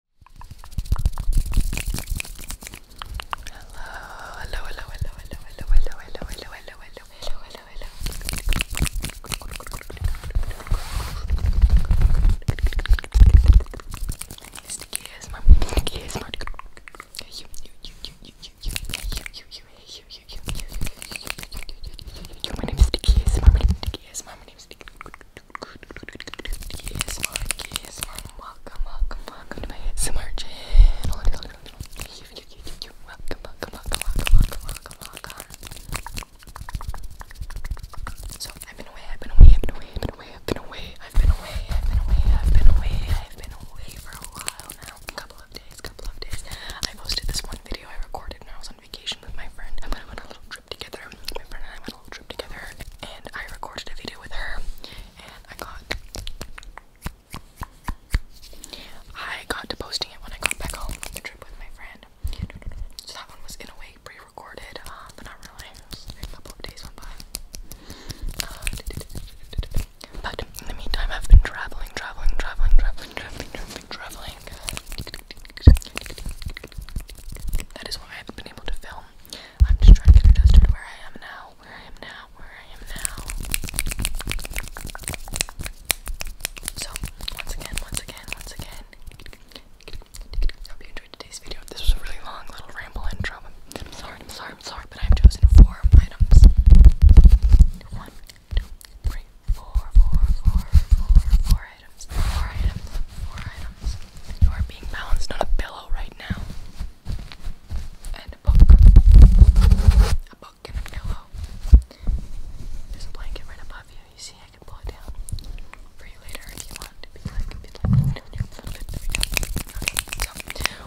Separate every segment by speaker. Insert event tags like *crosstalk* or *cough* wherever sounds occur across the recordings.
Speaker 1: hello, hello, hello, hello, hello, hello, hello, hello, hello, hello, hello, hello, hello. Sticky my sticky is my you you you you you you you you Yes, man, yes, man. Welcome, welcome, welcome to my ASMR channel. Welcome, welcome, welcome, welcome, welcome, welcome, welcome. So I've been away, I've been away, I've been away, I've been away, I've been away, I've been away, I've been away, I've been away, I've been away for a while now. A couple of days, couple of days. I posted this one video I recorded when I was on vacation with my friend. I went on a little trip together. My friend and I went on a little trip together, and I recorded a video with her, and I got I got to posting it when I got back home from the trip with my friend. So that one was in a way pre-recorded, um, but not really. A couple days went by. Um, but in the meantime, I've been traveling, traveling, traveling, traveling, traveling, traveling. That is why I haven't been able to film. I'm just trying to get to where I am now, where I am now, where I am now. So, once again, once again, once again. Hope you enjoyed today's video. This was a really long little ramble intro. I'm sorry, I'm sorry, I'm sorry, but I've chosen four items. One, two, three, four, four, four, four, four items, four items, four items. You are being balanced on a pillow right now. And a book. A book and a pillow. There's a blanket right above you. You see, I can pull it down for you later if you want.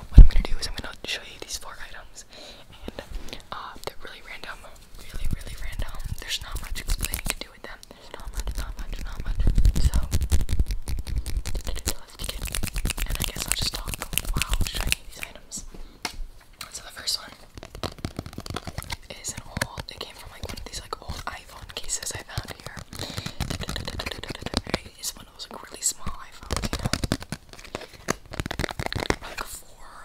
Speaker 1: what I'm gonna do is I'm gonna show you these four items, and uh, they're really random, really, really random. There's not much explaining to do with them yeah, So, let's begin. And I guess I'll just talk while showing you these items. So the first one is an old, it came from like one of these like old iPhone cases I found here. It's one of those like really small iPhone, you know? four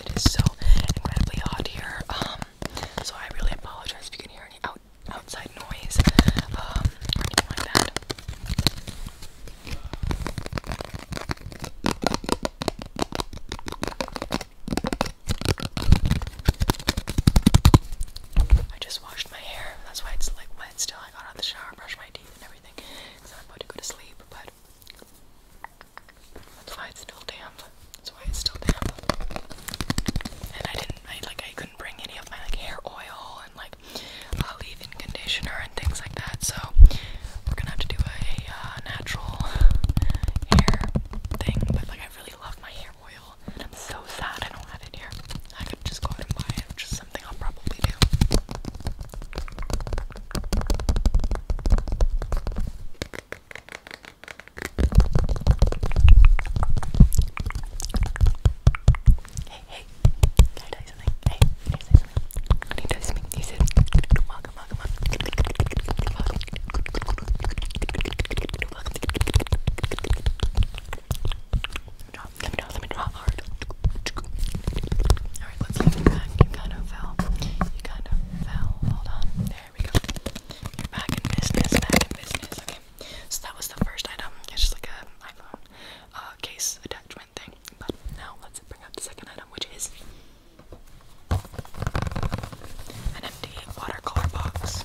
Speaker 1: it is so incredibly hot here. Um, so I really apologize if you can hear any outside noise um, or anything like that. I just washed my hair. That's why it's like wet still. I got out of the shower, brushed my teeth, and everything. So I'm about to sleep, but that's why it's still damp. That's why it's still damp. And I didn't, I like, I couldn't bring any of my like hair oil and like uh, leave-in conditioner and things like that. So we're gonna have to do a uh, natural hair thing. But like, I really love my hair oil, I'm so sad I don't have it here. I could just go and buy it, which is something I'll probably do. Hey, hey, can I tell you something? Hey, can I tell you something? I need to tell you something. You said, welcome, welcome, welcome. Welcome. Welcome. Let me draw, let me draw, let me draw hard. Alright, let's look back. You kind of fell. Um, you kind of Hold on. There we go. You're back in business, back in business. Okay. So that was the first item. It's just like an iPhone uh, case attachment thing. But now let's bring up the second item, which is an empty watercolor box.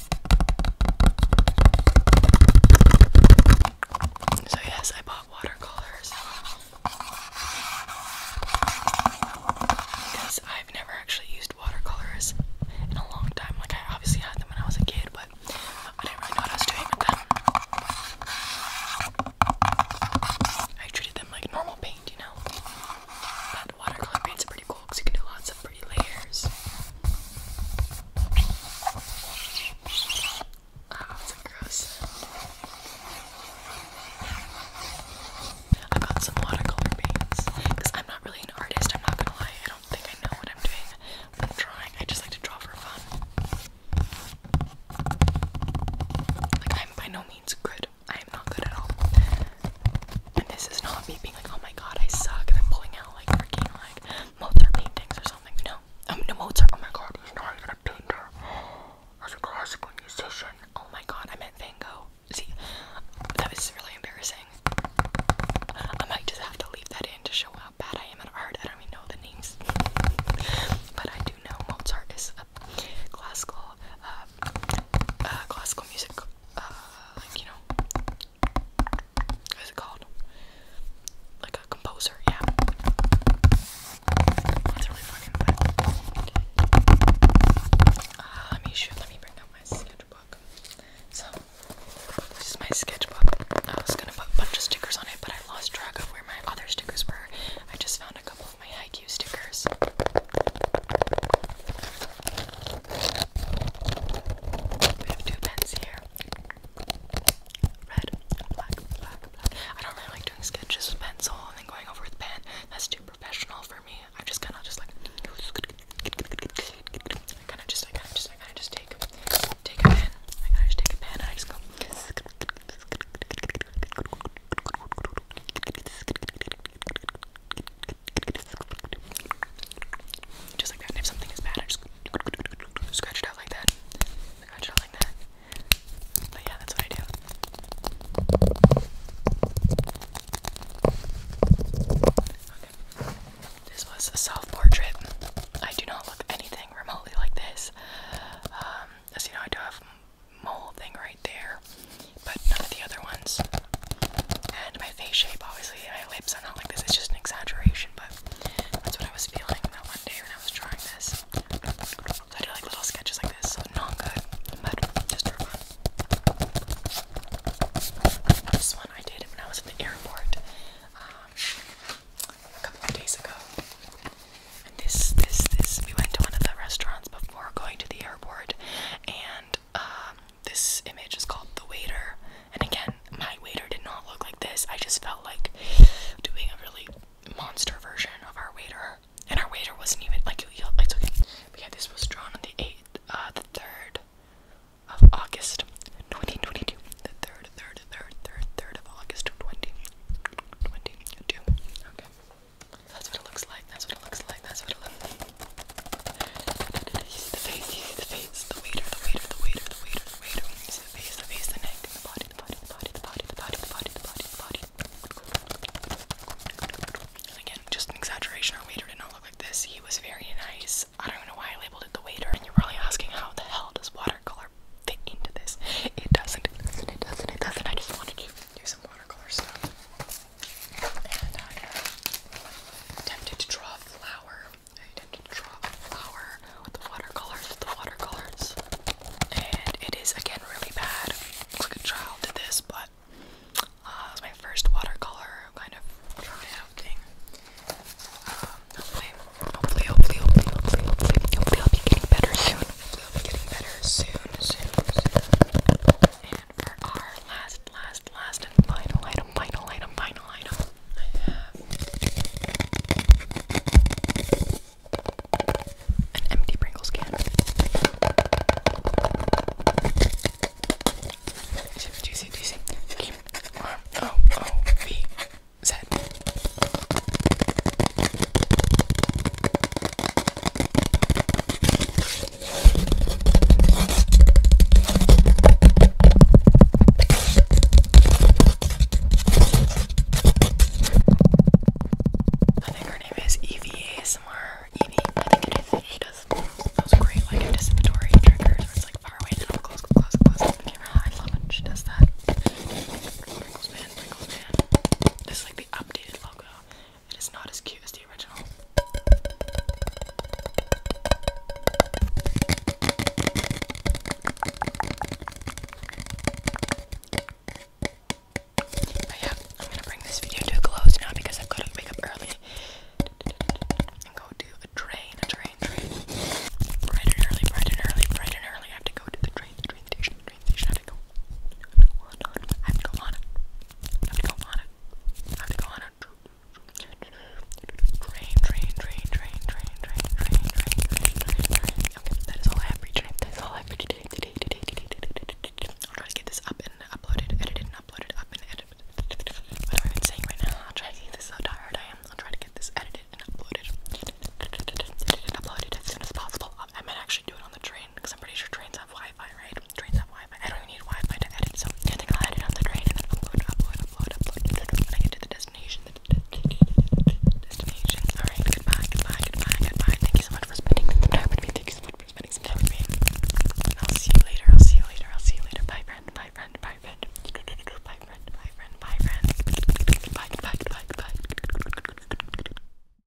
Speaker 1: So, yes, I bought watercolors because I've never actually used watercolors in a long time. Like, I obviously had them when I was a kid, but I didn't really know what I was doing with them. I treated them like normal paint, you know? But watercolor paint's pretty cool because you can do lots of pretty layers. Oh, ah, it's gross. I got some watercolor paints because I'm not really an artist. I'm not gonna lie. I don't think I know what I'm doing. I'm drawing. I just like to draw for fun. Like I'm by no means good. I am not good at all. And this is not me being like, oh my god, I suck, and I'm pulling out know, like freaking like Mozart paintings or something, you know? Um, no, Mozart, oh my god, he's not even a painter. He's a classical musician. Oh my god, I meant Van Gogh. See, that was really embarrassing. I might just have to leave that in to show how bad I am at art. I don't even know the names. but I do know Mozart is a classical, uh, uh, classical music, uh, like, you know, What's it called? Like a composer, yeah. Uh, let me shoot. Let me bring out my sketchbook. So this is my sketchbook. I was gonna put a bunch of stickers on it, but I lost track of where my other stickers were. I just found a couple of my haiku stickers. We have two pens here. Red, black, black, black. I don't really like doing sketches with pencil and then going over with pen. That's too professional for me. I just kind of just like I kind of just I kind of just I kind of just take take a pen. I kind of just take a pen and I just go. Just like that. if something is bad, I just scratch it out like that. Scratch it out like that. But yeah, that's what I do. Okay. This was a self-portrait. I do not look anything remotely like this. Um, you know, I do have mole thing right there but none of the other ones. And my face shape, obviously, my lips are not like this. It's just an exaggeration, but that's what I was feeling that one day when I was trying this. I did like little sketches like this, so not good, but just This one I did when I was at the airport um, a couple of days ago. And this, this, this, we went to one of the restaurants before going to the airport, and um, this image is called The Waiter. And again, my waiter did not look like this. I just felt like doing a really monster version of our waiter. And our waiter wasn't even like it's okay. But yeah, this was drawn on the eighth, uh, the third of August, 2022. The third, third, third, third, third of August, 2022. Okay. That's what it looks like. That's what it looks like. That's what it looks like. You see the face, you see the face, the waiter, the waiter, the waiter, the waiter, waiter. You see the face, the face, the neck, the body, the body, body, the body, the body, the body, the body, And again, just an exaggeration. Our waiter did not look like this. He was very nice. I don't know why I labeled it the waiter, and you're probably asking how the hell does watercolor fit into this? It doesn't. It doesn't. It doesn't. I just wanted to do some watercolor stuff. And I am tempted to draw a flower. attempted to draw a flower with the watercolors, with the watercolors. And it is again really bad. Looks like a this, but uh, my first watercolor kind of try thing. Um, hopefully, hopefully, hopefully, hopefully, hopefully, hopefully, I'll be getting better soon. Hopefully I'll be getting better soon, soon, soon. And for our last, last, last and final item, final item, final item, I have an empty Pringles can. Do you see? Do you see? Q R O O V Z. I think her name is Evie ASMR. Evie, I think She does those great like anticipatory triggers where it's like far away close, close, close, camera. I love it. She does that. Sprinkles like the updated logo. It is not as cute as the original. I'm gonna bring this video to a close now because I've got to wake up early and go do a train, train, train. Bright and early, bright and early, bright and early. I have to go to the train station. I have to go. I have to go on it. I have to go on it. I have to go on it. Train, train, train, train, train, train, train, train, train, train, Okay, that is all I have That is all I have for today. Today, today, today, today, today, today. I'll try to get this up and uploaded, edited, uploaded, up and edited. What I even saying right now? I'll try to get this. So tired I am. I'll try to get this edited and uploaded. uploaded as soon as possible. I might actually do it on the train because I'm pretty sure trains trains have Wi-Fi, right? Trains have Wi-Fi. I don't even need Wi-Fi to edit, so I think I'll edit on the train and then upload, upload, upload, upload. When I get to the destination, the *laughs* destination. All right, goodbye, goodbye, goodbye, goodbye. Thank you so much for spending some time with me. Thank you so much for spending some time with me. And I'll see you later. I'll see you later. I'll see you later. Bye, friend. Bye, friend. Bye, friend. Bye, friend. Bye, friend. Bye, friend. Bye, goodbye, goodbye, goodbye.